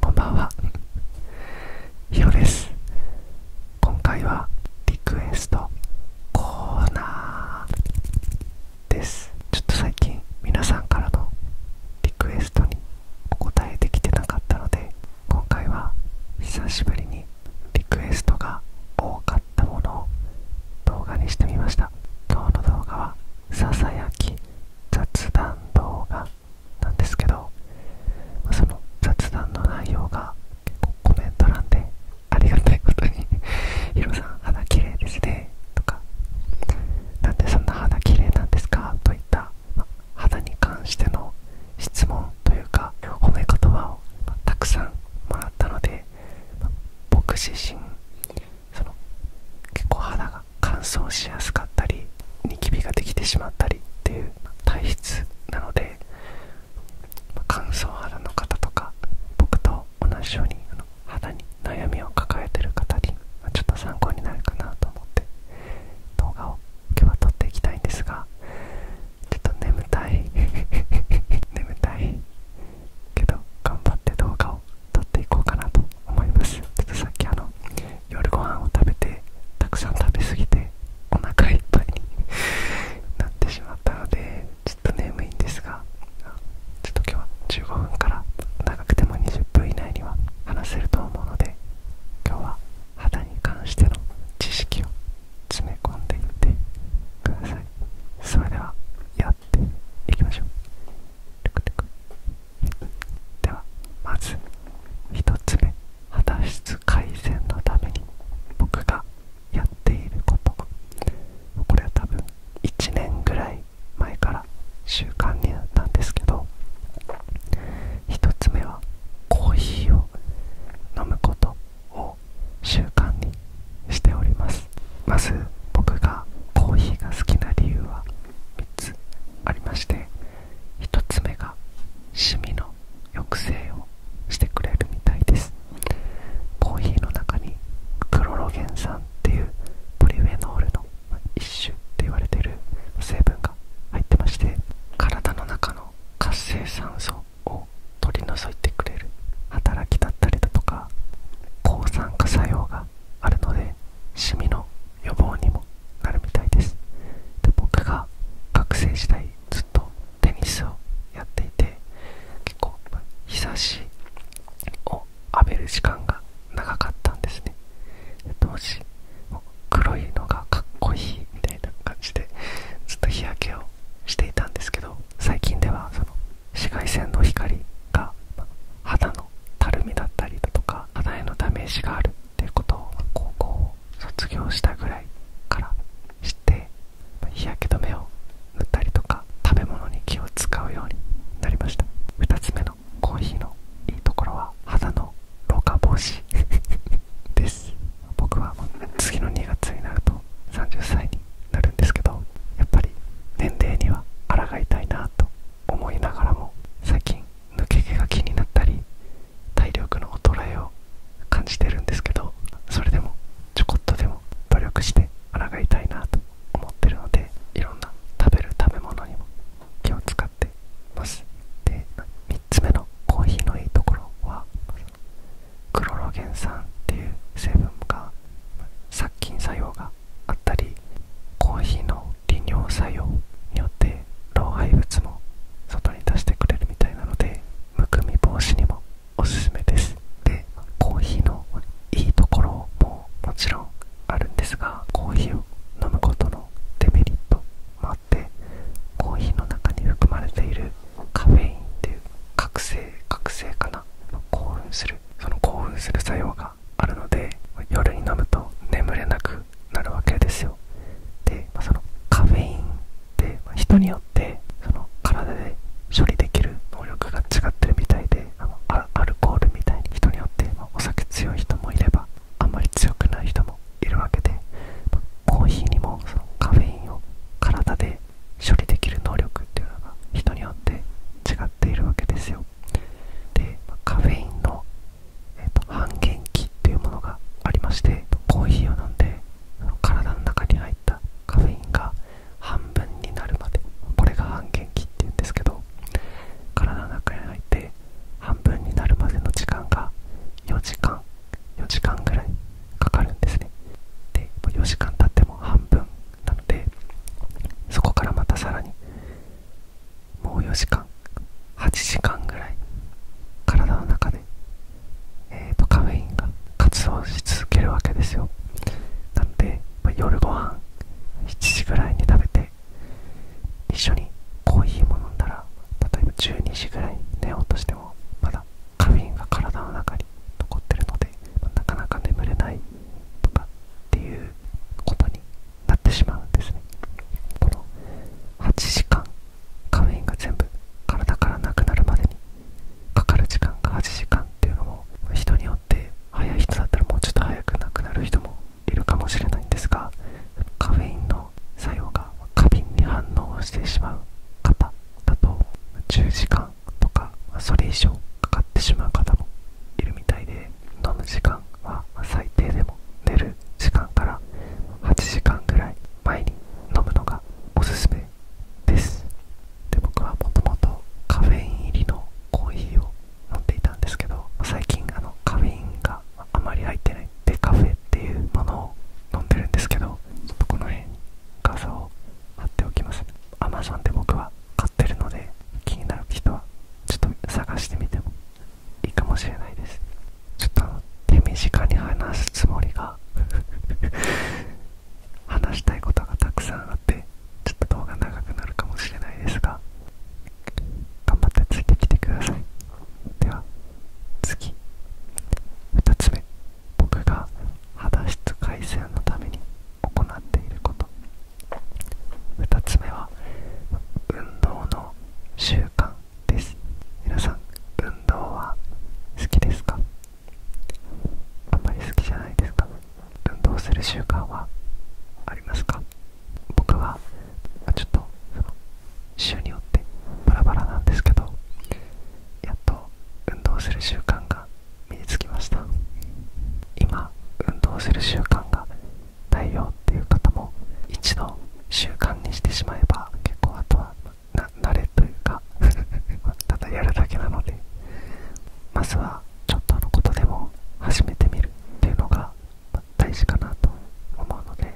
こんばんは、ひろです。今回はリクエストコーナーです。ちょっと最近皆さんからのリクエストにお答えできてなかったので、今回は久しぶりにリクエストが多かっものを動画にしてみました今日の動画はささやき雑談動画なんですけどその雑談の内容が結構コメント欄でありがたいことに「ヒロさん肌綺麗ですね」とか「なんでそんな肌綺麗なんですか?」といった、肌に関しての質問というか褒め言葉を、たくさんもらったので僕自身その結構肌が乾燥しやすかったりニキビができてしまったりっていう体質なので、乾燥肌の方とか僕と同じように肌に悩みを抱えてる方に、まちょっと参考になるかなと思って動画を今日は撮っていきたいんですがちょっと眠たい 眠たいけど頑張って動画を撮っていこうかなと思いますちょっとさっきあの夜ご飯を食べてたくさん食べ過ぎてお腹いっぱいになってしまったのでちょっと眠いんですがちょっと今日は15分から長くても20分以内には話せると思うので今日は肌に関しての知識を詰め込んでいってくださいそれではやっていきましょうではまず1つ目肌質改善のために僕がやっていることこれは多分1年ぐらい前から習慣になったんですけど1つ目はコーヒーを飲むことを習慣にしておりますまず僕がコーヒーが好きな理由は3つありまして1つ目がシミの抑制をしてくれるみたいですコーヒーの中にクロロゲン酸っていうポリフェノールの一種って言われてる成分が入ってまして体の中の活性酸を取り除いてくれる働きだったりだとか抗酸化作用があるのでシミの予防にもなるみたいですで僕が学生時代ずっとテニスをやっていて結構日差しを浴びる時間が長かったんですねもし黒いのがかっこいいみたいな感じでずっと日焼けをしていたんですけど最近ではその紫外線の光が肌のたるみだったりだとか肌へのダメージがあるっていうことを高校を卒業したぐらいから知って日焼け止めを塗ったりとか食べ物に気を使うようになりました2つ目のコーヒーのいいところは肌の老化防止です僕は次の2月になると30歳になるんですけどやっぱり年齢には抗いたいなと思いながらも最近抜け毛が気になったり体力の衰えを感じてるんですけどそれでもちょこっとでも努力して抗いたいなと思ってるのでいろんな食べる食べ物にも気を使ってますで3つ目のコーヒーのいいところはクロロゲン酸っていう成分が殺菌作用があったりコーヒーの利尿作用によって老廃物も外に出してくれるみたいなのでむくみ防止にもおすすめですでコーヒーのいいところももちろんあるんですがコーヒーを飲むことのデメリットまあコーヒーの中に含まれているカフェインっていう覚醒覚醒かな興奮するその興奮する作用があるので夜に飲むと眠れなくなるわけですよで、まあ、そのカフェインって、人によってその体で処理できる能力が違ってるみたいであのアルコールみたいに人によって、お酒強い人もいればあんまり強くない人もいるわけで、まコーヒーにもそのカフェインを体で処理できる能力っていうのが人によって違っているわけですよで、カフェインの、えー、と半減期っていうものがありましてコーヒーを飲んで体の中に入ったカフェインが半分になるまでこれが半減期っていうんですけど体の中に入って半分になるまでの時間が4時間4時間ぐらいかかるんですねで4時間経っても半分なのでそこからまたさらにもう4時間8時間ぐらい体の中で、えーと、カフェインが活動し続けるわけですよなので、ま夜ご飯7時ぐらいに食べて一緒にコーヒーも飲んだら例えば12時ぐらい寝ようとしてもまだカフェインが体の中に残ってるのでなかなか眠れないとかっていうことになってしまうんですねこの8時間カフェインが全部体からなくなるまでにかかる時間が8時間っていうのも人によって早い人だったらもうちょっと早くなくなる人もいるかもしれないんですがカフェインの作用が過敏に反応してしまう方だと10時間とかそれ以上かかってしまう方もいるみたいで飲む時間は最低でも寝る時間から8時間ぐらい前に飲むのがおすすめですで僕はもともとカフェイン入りのコーヒーを飲んでいたんですけど最近あのカフェインがあまり入ってないデカフェっていうものを飲んでるんですけどちょっとこの辺画像を貼っておきます Amazon で僕は買ってるので気になる人はちょっと探してみてもいいかもしれないですちょっと手短に話すつもりが 話したいことがたくさんあってちょっと動画長くなるかもしれないですが頑張ってついてきてくださいでは次2つ目僕が肌質改善のために行っていること2つ目は運動の習慣です皆さん運動は好きですかあんまり好きじゃないですか運動する習慣はありますか僕はちょっと週によってバラバラなんですけどやっと運動する習慣が身につきました今運動する習慣がないよっていう方も一度習慣にしてしまえば結構あとは慣れというか ただやるだけなのでまずはちょっとのことでも始めてみるっていうのが大事かなと思うので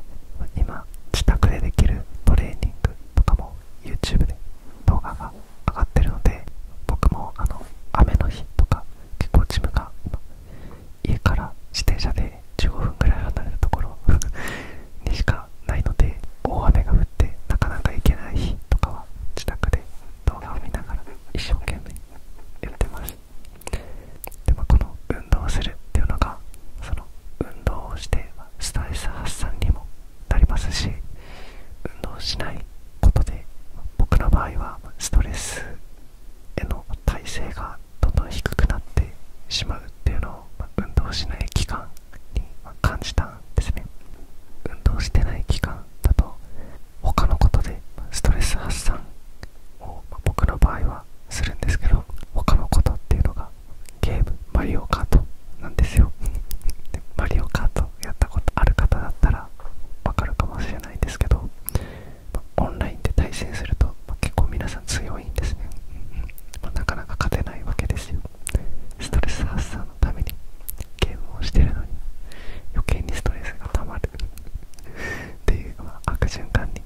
今自宅でできるトレーニングとかも YouTube で動画が上がってるので僕もあの雨の日とか結構ジムが家から自転車で15分ぐらい離れたところ にしかないので大雨が降ってなかなか行けない日とかは自宅で動画を見ながら一生懸命やってますでもこの運動するっていうのがその運動をしてストレス発散にもなりますし運動しないことで僕の場合はストレスへの耐性がどんどん低くなってしまうっていうのを運動しない期間に感じたんですね運動してない期間だと他のことでストレス発散僕の場合はするんですけど他のことっていうのがゲームマリオカートなんですよで マリオカートやったことある方だったら分かるかもしれないんですけど、オンラインで対戦すると、ま結構皆さん強いんですね、なかなか勝てないわけですよストレス発散のためにゲームをしてるのに余計にストレスが溜まるっていう、悪循環に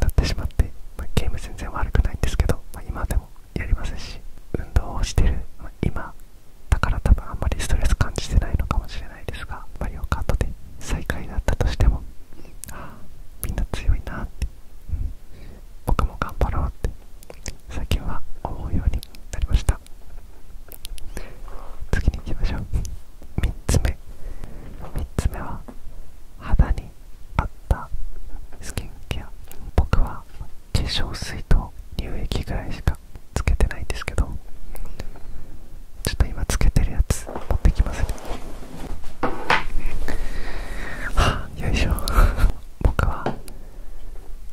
なってしまって、まゲーム全然悪くないんですけど、まあ、今でもやりますし運動をしてる、ま今だから多分あんまりストレス感じてないのかもしれないですがマリオカートで最下位だったとしてもああみんな強いなって、僕も頑張ろうって最近は思うようになりました次に行きましょう3つ目3つ目は肌に合ったスキンケア僕は化粧水と乳液ぐらいしかつけてないんですけどちょっと今つけてるやつ持ってきますねはあよいしょ僕は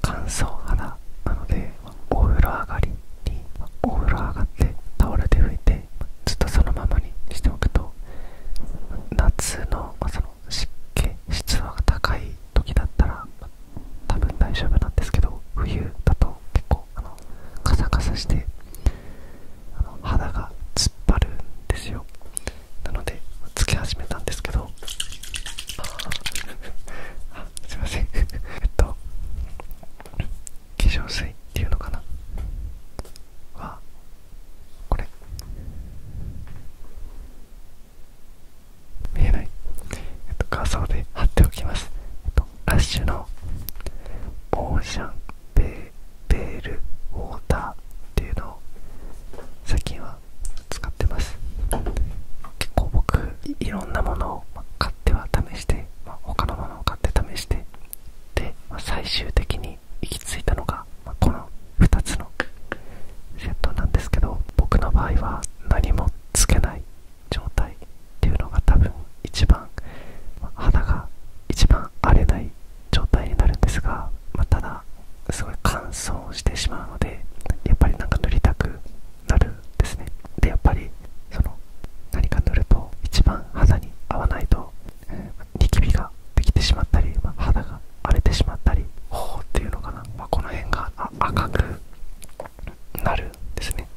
乾燥肌なのでお風呂上がりにお風呂上がってタオルで拭いてずっとそのままにしておくと夏の,、まその湿気湿度が高い時だったら多分大丈夫なんですけど冬だと結構あのカサカサして肌が突っ張るんですよなのでつき始めたんですけど あすいません えっと化粧水っていうのかなはこれ見えない、えっと、画像で貼っておきます、えっと、ラッシュのオーシャンベベールウォーターっていうのを最近は使ってます結構僕いろんなものを買っては試して他のものを買って試してで、ま最終的に行き着いたのが、まこの2つのセットなんですけど僕の場合は何もつけない状態っていうのが多分一番、ま肌が一番荒れない状態になるんですが、まただすごい乾燥してしまうのでやっぱりなんか塗りたくなるんですねでやっぱりその何か塗ると一番肌に合わないと、ニキビができてしまったり、肌が荒れてしまったり頬っていうのかな、まこの辺が赤くなるんですね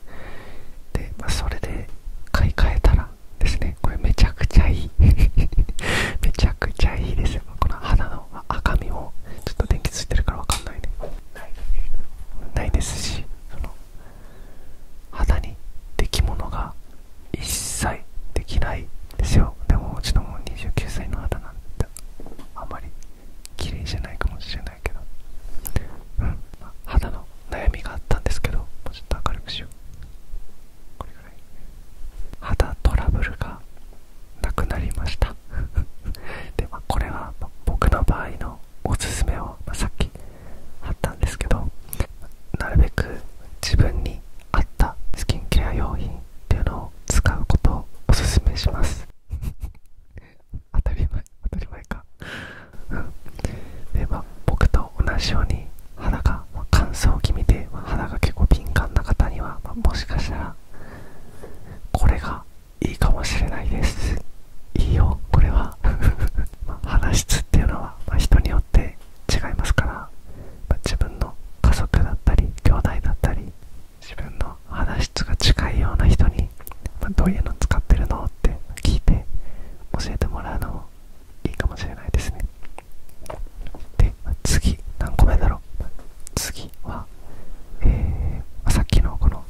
で、まそれで買い替えたらですねこれめちゃくちゃいい めちゃくちゃいいですよこの肌の赤みをちょっと電気ついてるからわかんないねないですし肌にできものが一切できないですよでもうちのも29歳の肌なんてあんまり綺麗じゃないかもしれないけど肌の悩みがあったんですけどもうちょっと明るくしようこれぐらい肌トラブルがなくなりました で、まあ、これは僕の場合のおすすめを、まさっき貼ったんですけどなるべく自分に合ったスキンケア用品っていうのを使うことをおすすめします 当たり前当たり前か で、まあ、僕と同じように肌が、乾燥気味で、肌が結構敏感な方には、もしかしたらこれがいいかもしれないですいいよこれは ま話質っていうのは、ま人によって違いますから、自分の家族だったり兄弟だったり自分の話質が近いような人に、まどういうの使ってるのって聞いて教えてもらうのもいいかもしれないですねで、次何個目だろう次はえさっきのこの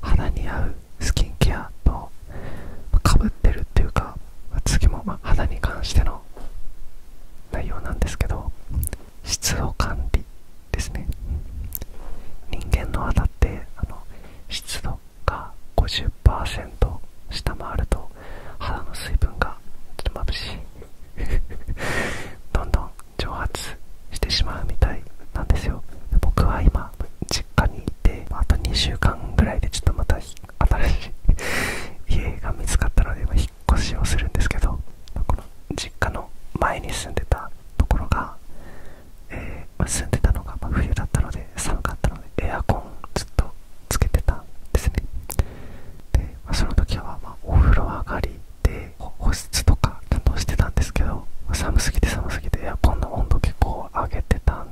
肌に合うスキンケアとかぶってるっていうか次もま肌に関しての内容なんですけど質を管理ですね人間の肌ってあの湿度が50%下回ると肌の水分がちょっと眩しい どんどん蒸発してしまうみたいなんですよ僕は今実家にいてあと2週間ぐらいでちょっとまた新しい 家が見つかったので今引っ越しをするんですけどこの実家の前に住んでたところが、えー、住んでたのが冬だったので寒かったのでエアコンずっとつけてたんですねで、まあ、その時はまお風呂上がりで、保湿とか担当してたんですけど寒すぎて寒すぎてエアコンの温度結構上げてたん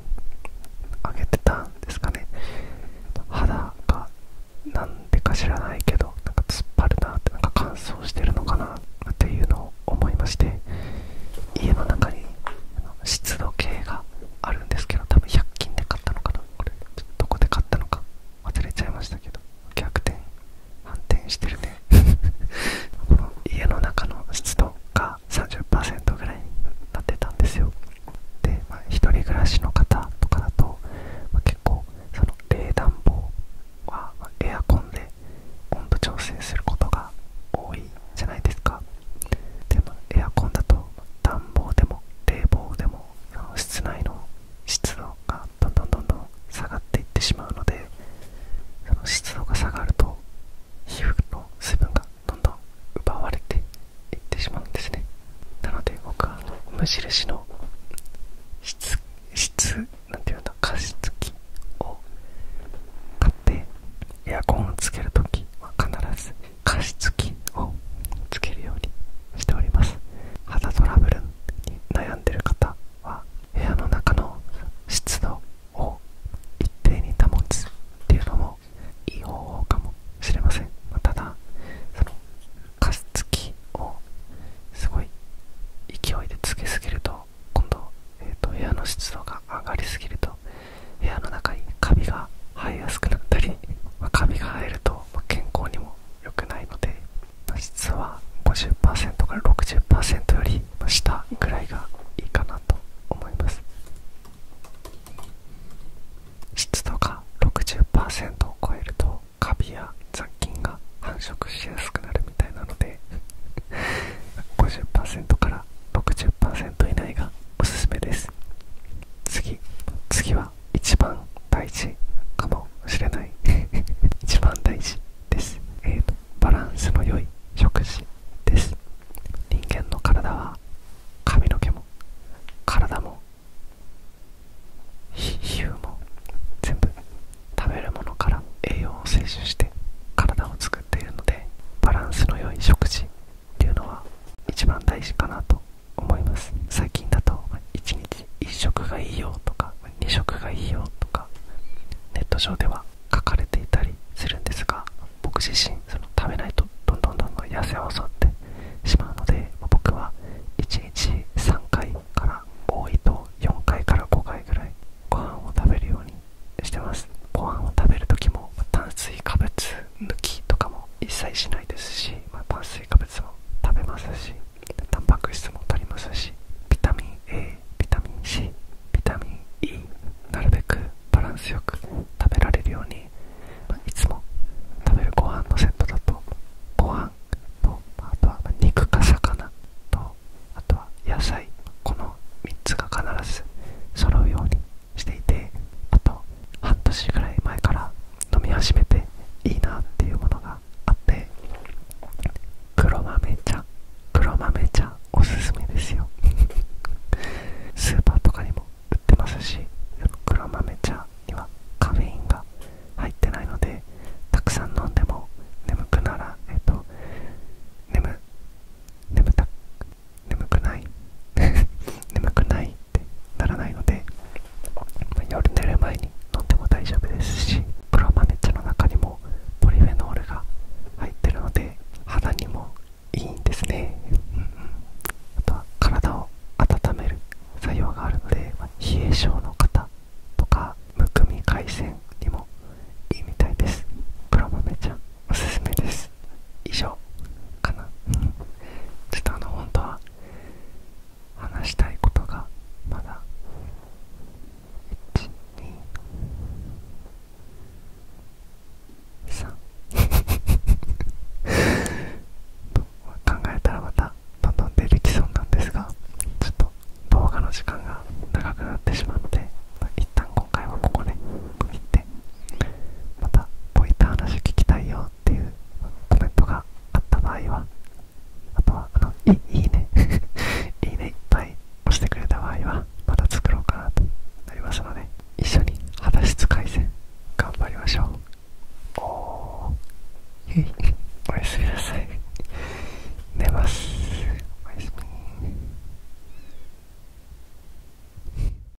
上げてたんですかね肌がなんでか知らないけどなんか突っ張るなってなんか乾燥してるのかなっていうのを思いまして家の中に湿度計があるんですけど多分100均で買ったのかなこれどこで買ったのか忘れちゃいましたけど逆転反転してるねこの家の中の湿度が30%ぐらいになってたんですよで、ま一人暮らしの方とかだと、ま結構その冷暖房はエアコンで温度調整することが多いじゃないですかでも、エアコンだと暖房でも冷房でも室内の湿度がどんどんどんどん下がっていってしまうのでその湿度が下がると皮膚の水分がどんどん奪われていってしまうんですねなので僕は無印の質なんていうんだ加湿器を買ってエアコンをつける時は必ず加湿器をつけるようにしております肌トラブル悩んでる方は部屋の中の湿度を一定に保つっていうのもいい方法かもしれません、まただその加湿器をすごい勢いでつけすぎると今度、えー、と部屋の湿度が上がりすぎると部屋の中にカビが生えやすくなったり、まあ、カビが生えると、ま健康にも良くないので質は50%から60%より下ぐらいがいいかなと思います湿度が60%を超えるとカビや雑菌が繁殖しやすくなるみたいなので50%から60%以内がおすすめです次次は一番大事かもしれない 一番大事です、えっと、バランスの良い食事です人間の体は髪の毛も体も皮膚も全部食べるものから栄養を摂取して体を作っているのでバランスの良い食事っていうのは一番大事かなと思います最近だと1日1食がいいよとか2食がいいよとかネット上では書かれていたりするんですが僕自身その食べないとどんどんどんどん痩せ襲ってしまうので僕は1日3回から多いと4回から5回ぐらいご飯を食べるようにしてますご飯を食べる時も炭水化物抜きとかも一切しないですし、まあ、炭水化食べますしタンパク質も取りますしビタミン A ビタミン C ビタミン E なるべくバランスよく食べられるように、いつも食べるご飯のセットだとご飯とあとは肉か魚とあとは野菜この3つが必ず揃うようにしていてあと半年ぐらい前から飲み始めていいなっていうものがあって黒豆茶黒豆茶おすすめですよ スーパーとかにも売ってますし黒豆茶にはカフェインが入ってないのでたくさん飲んでも眠くならえっと眠眠た眠くない 眠くないならないので、夜寝る前に飲んでも大丈夫ですしプロマ茶の中にもポリフェノールが入ってるので肌にもいいんですね、あとは体を温める作用があるので、冷え性の方とかむくみ改善にもいいみたいですプロマ茶おすすめです以上かなちょっとあの本当は話したいことがまだ123考えたらまたどんどん出てきそうなんですがちょっと動画の時間が長くなってしまって。で、まあ、一旦今回はここで区切ってまたこういった話聞きたいよっていうコメントがあった場合はあとはあのいいね いいねいっぱい押してくれた場合はまた作ろうかなとなりますので一緒に肌質改善頑張りましょうおおおやすみなさい寝ますおやすみ